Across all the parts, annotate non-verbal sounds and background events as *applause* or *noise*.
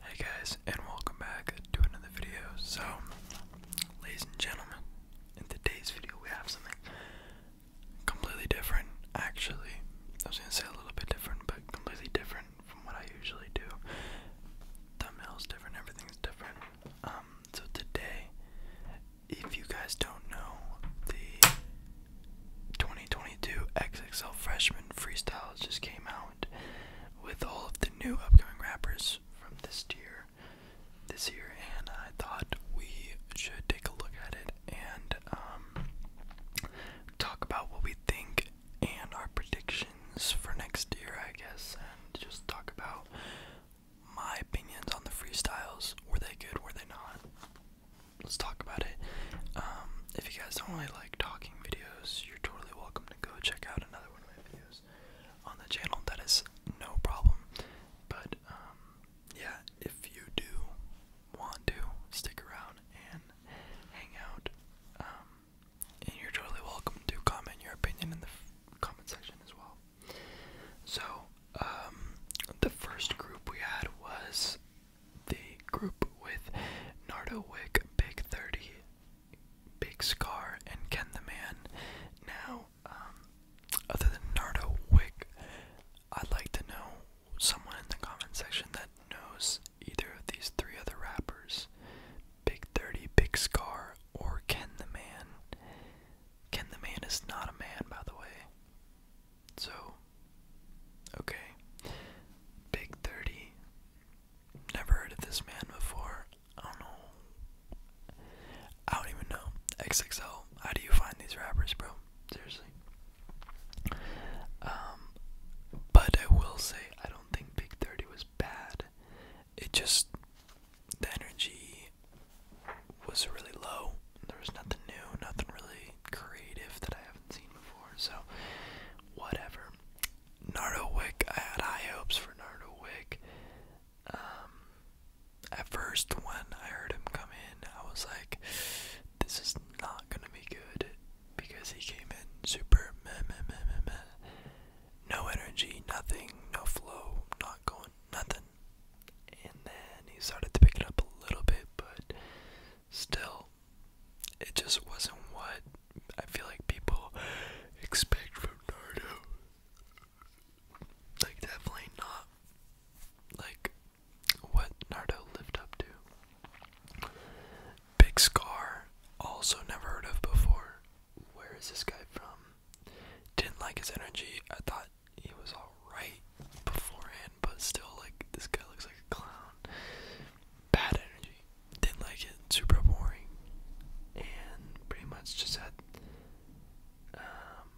Hey guys, and welcome back to another video. So, ladies and gentlemen, in today's video we have something completely different. Actually, I was gonna say a little bit different, but completely different from what I usually do. Thumbnail's different, everything's different. Um, so today, if you guys don't know, the 2022 XXL Freshman Freestyles just came out with all of the new upcoming rappers from this year this year and I thought we should take a look at it and um, talk about what we think and our predictions for next year I guess and just talk about my opinions on the freestyles. Were they good? Were they not? let's talk about it. Um, if you guys don't really like talking videos, you're totally welcome to go check out another one of my videos on the channel. That is no problem. But um, yeah, if you do want to stick around and hang out, um, and you're totally welcome to comment your opinion in the comment section as well. So, the first group we had was the group with Nardo Wick, Big 30, Big Scar, and Ken the Man. Now, um, other than Nardo Wick, I'd like to know someone in the comment section that knows either of these three other rappers Big 30, Big Scar, or Ken the Man. Ken the Man is not a man, by the way. So, okay. Big 30. Never heard of this man before. I don't know. I don't even know. XXL. How do you find these rappers, bro? Seriously. Um, but I will say, I don't think Big 30 was bad. It just, the energy was really low there was nothing new, nothing really creative that I haven't seen before. So, whatever. Nardo Wick, I had high hopes for Nardo Wick. Um, at first, when I heard him come in, I was like, this is not gonna be good because he came in super No energy, nothing, no flow, not going, nothing, and then he started to pick it up a little bit, but still, it just wasn't what I feel like people expect from Naruto. Like, definitely not like what Naruto lived up to. Big Scar, also never heard of before. Where is this guy from? Didn't like his energy. I thought it was alright beforehand, but still, like, this guy looks like a clown. Bad energy. Didn't like it. Super boring. And pretty much just had. Um,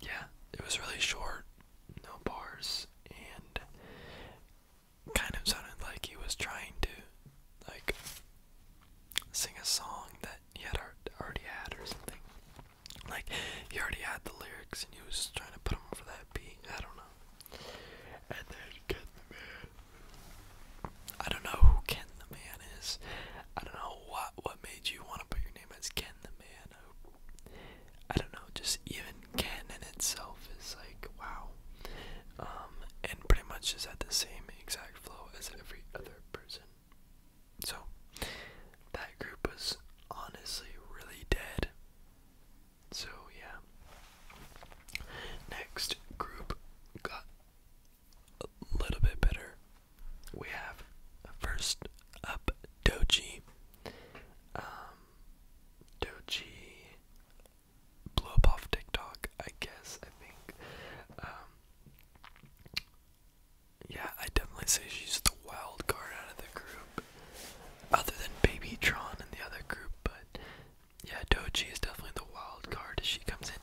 yeah, it was really short. No bars. And kind of sounded like he was trying to, like, sing a song that he had already had or something. Like, he already had the lyrics and he was trying to put them over that beat. I don't know. And then Ken the Man. I don't know who Ken the Man is. I don't know what what made you want to put your name as Ken the Man. I don't know. Just even Ken in itself is like wow. Um, and pretty much is at the same exact flow as every other person so that group was honestly really dead. So yeah. Next group got a little bit better. We have first up Doji. Um, Doji blow up off TikTok, I guess, I think. Um, yeah, I definitely say she's the wild card out of the group. Other than Baby Tron in the other group, but yeah, Doji is definitely the wild card. She comes in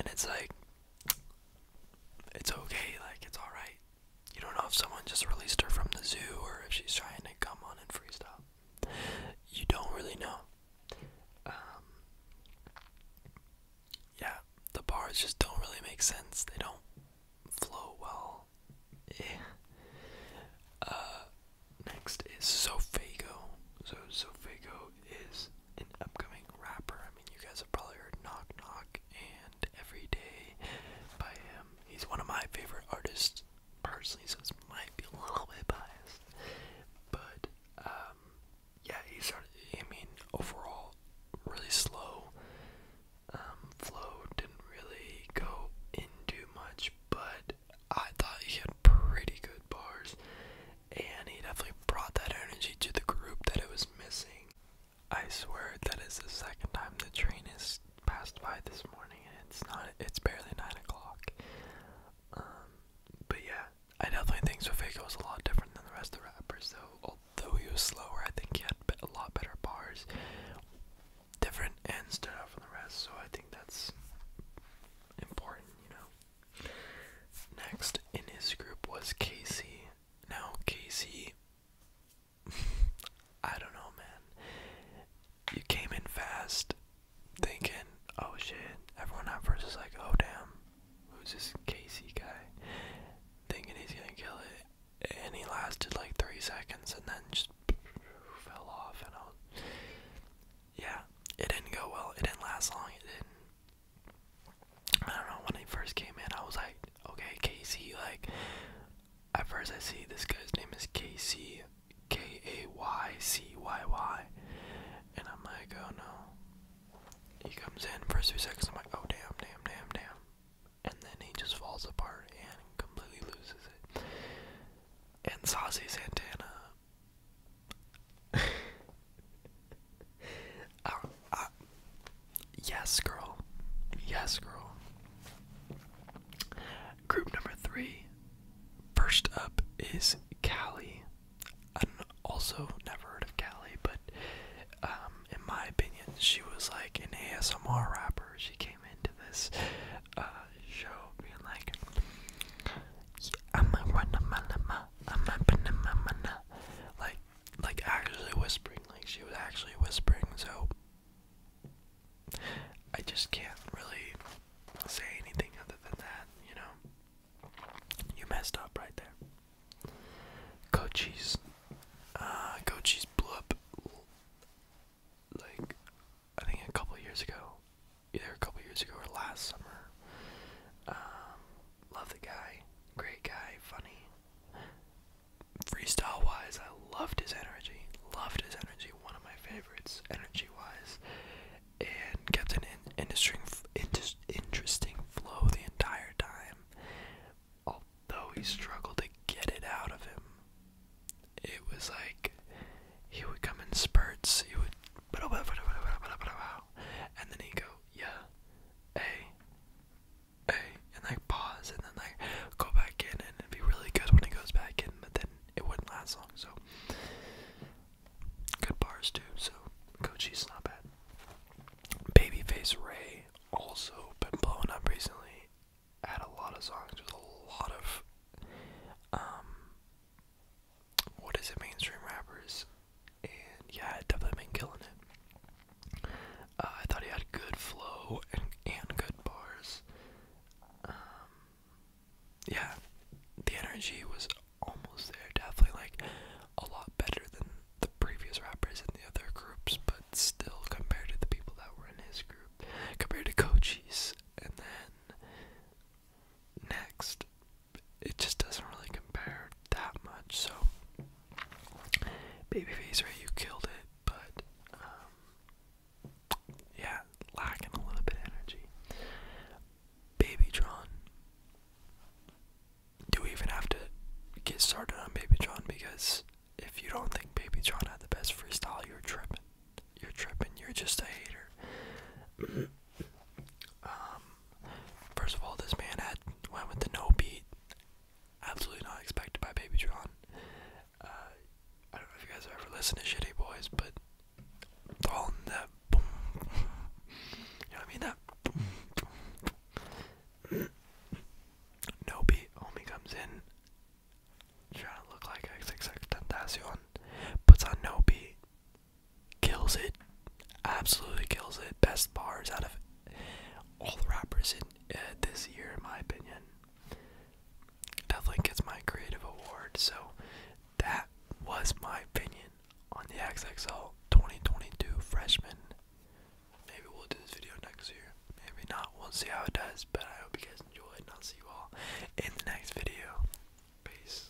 and it's like it's okay, like it's alright. You don't know if someone just released her from the zoo or if she's trying to come on and freestyle you don't really know. Um, yeah, the bars just don't really make sense. They don't flow well. Yeah. Uh, next is Sofago. So Sofago is an upcoming rapper. I mean, you guys have probably heard Knock Knock and Everyday by him. He's one of my favorite artists personally, so this might be a little bit biased. But um, yeah, he started. I mean, overall, really slow. Um, flow didn't really go into much, but I thought he had pretty good bars, and he definitely brought that energy to the group that it was missing. I swear that is the second time the train is passed by this morning, and it's not. It's barely nine o'clock. Um, but yeah, I definitely think Sofika was a lot different than the rest of the rappers. Though, although he was slower, I think he had a lot better bars, different, and stood out from the rest. So I think that's important, you know. Next in his group was Casey. Now Casey *sighs* I don't know, man. You came in fast, thinking, oh shit, everyone at first is like, oh damn, who's this Casey guy? Thinking he's gonna kill it, and he lasted like three seconds, and then just *laughs* fell off, and I was, yeah, it didn't go well. It didn't last long. It didn't. I don't know, when he first came in, I was like, okay, Casey, like, at first, I see this guy's name is KC, K A Y C Y Y, and I'm like, oh no. He comes in, first two seconds, I'm like, oh damn, damn, damn, damn. And then he just falls apart and completely loses it. And Saucy Santana. *laughs* I, Yes, girl. Yes, girl. Group number three. First up is Cali. I'm also never heard of Cali, but um, in my opinion, she was like an ASMR rapper. She came into this uh, show being like, I'm a I'm a like, like actually whispering. Like she was actually whispering. So I just can't really say anything other than that, you know. You messed up right there. Cochise. Uh Cochise blew up like I think a couple years ago. Either a couple years ago or last summer. Um, love the guy. Great guy, funny freestyle wise, I loved his energy. Loved his energy. One of my favorites, energy wise, and kept an in interesting, inter interesting flow the entire time. Although he struggled to get it out of him, it was like he would come in spurts. He would, and then he'd go, yeah, hey, hey, and like pause and then like go back in and it'd be really good when it goes back in, but then it wouldn't last long. So good bars too. So Gucci's not bad. Babyface Ray also been blowing up recently. Had a lot of songs with a lot of um what is it mainstream rappers and yeah, it definitely been killing it. Uh, I thought he had good flow and, and good bars. Um, yeah, the energy was almost there. Definitely like a lot better than the previous rappers in the other groups, but still compared to the people that were in his group, compared to Kochi's, and then next, it just doesn't really compare that much. So Babyface Ray, you killed it, but um, yeah, lacking a little bit of energy. Babytron. Do we even have to get started on Baby John? Because if you don't think Baby John had the best freestyle, you're tripping. You're tripping. You're just a hater. *clears throat* Um, First of all, this man had went with the no beat. Absolutely not expected by Baby John. Uh, I don't know if you guys ever listen to Shitty Boys, but all in that boom, You know what I mean? That boom, boom, boom. no beat. Homie comes in, trying to look like XXX Tentacion, puts on no beat, kills it. Absolutely kills it. Best bars out of all the rappers in uh, this year, in my opinion. Definitely gets my creative award. So that was my opinion on the XXL 2022 freshman. Maybe we'll do this video next year. Maybe not. We'll see how it does. But I hope you guys enjoyed, and I'll see you all in the next video. Peace.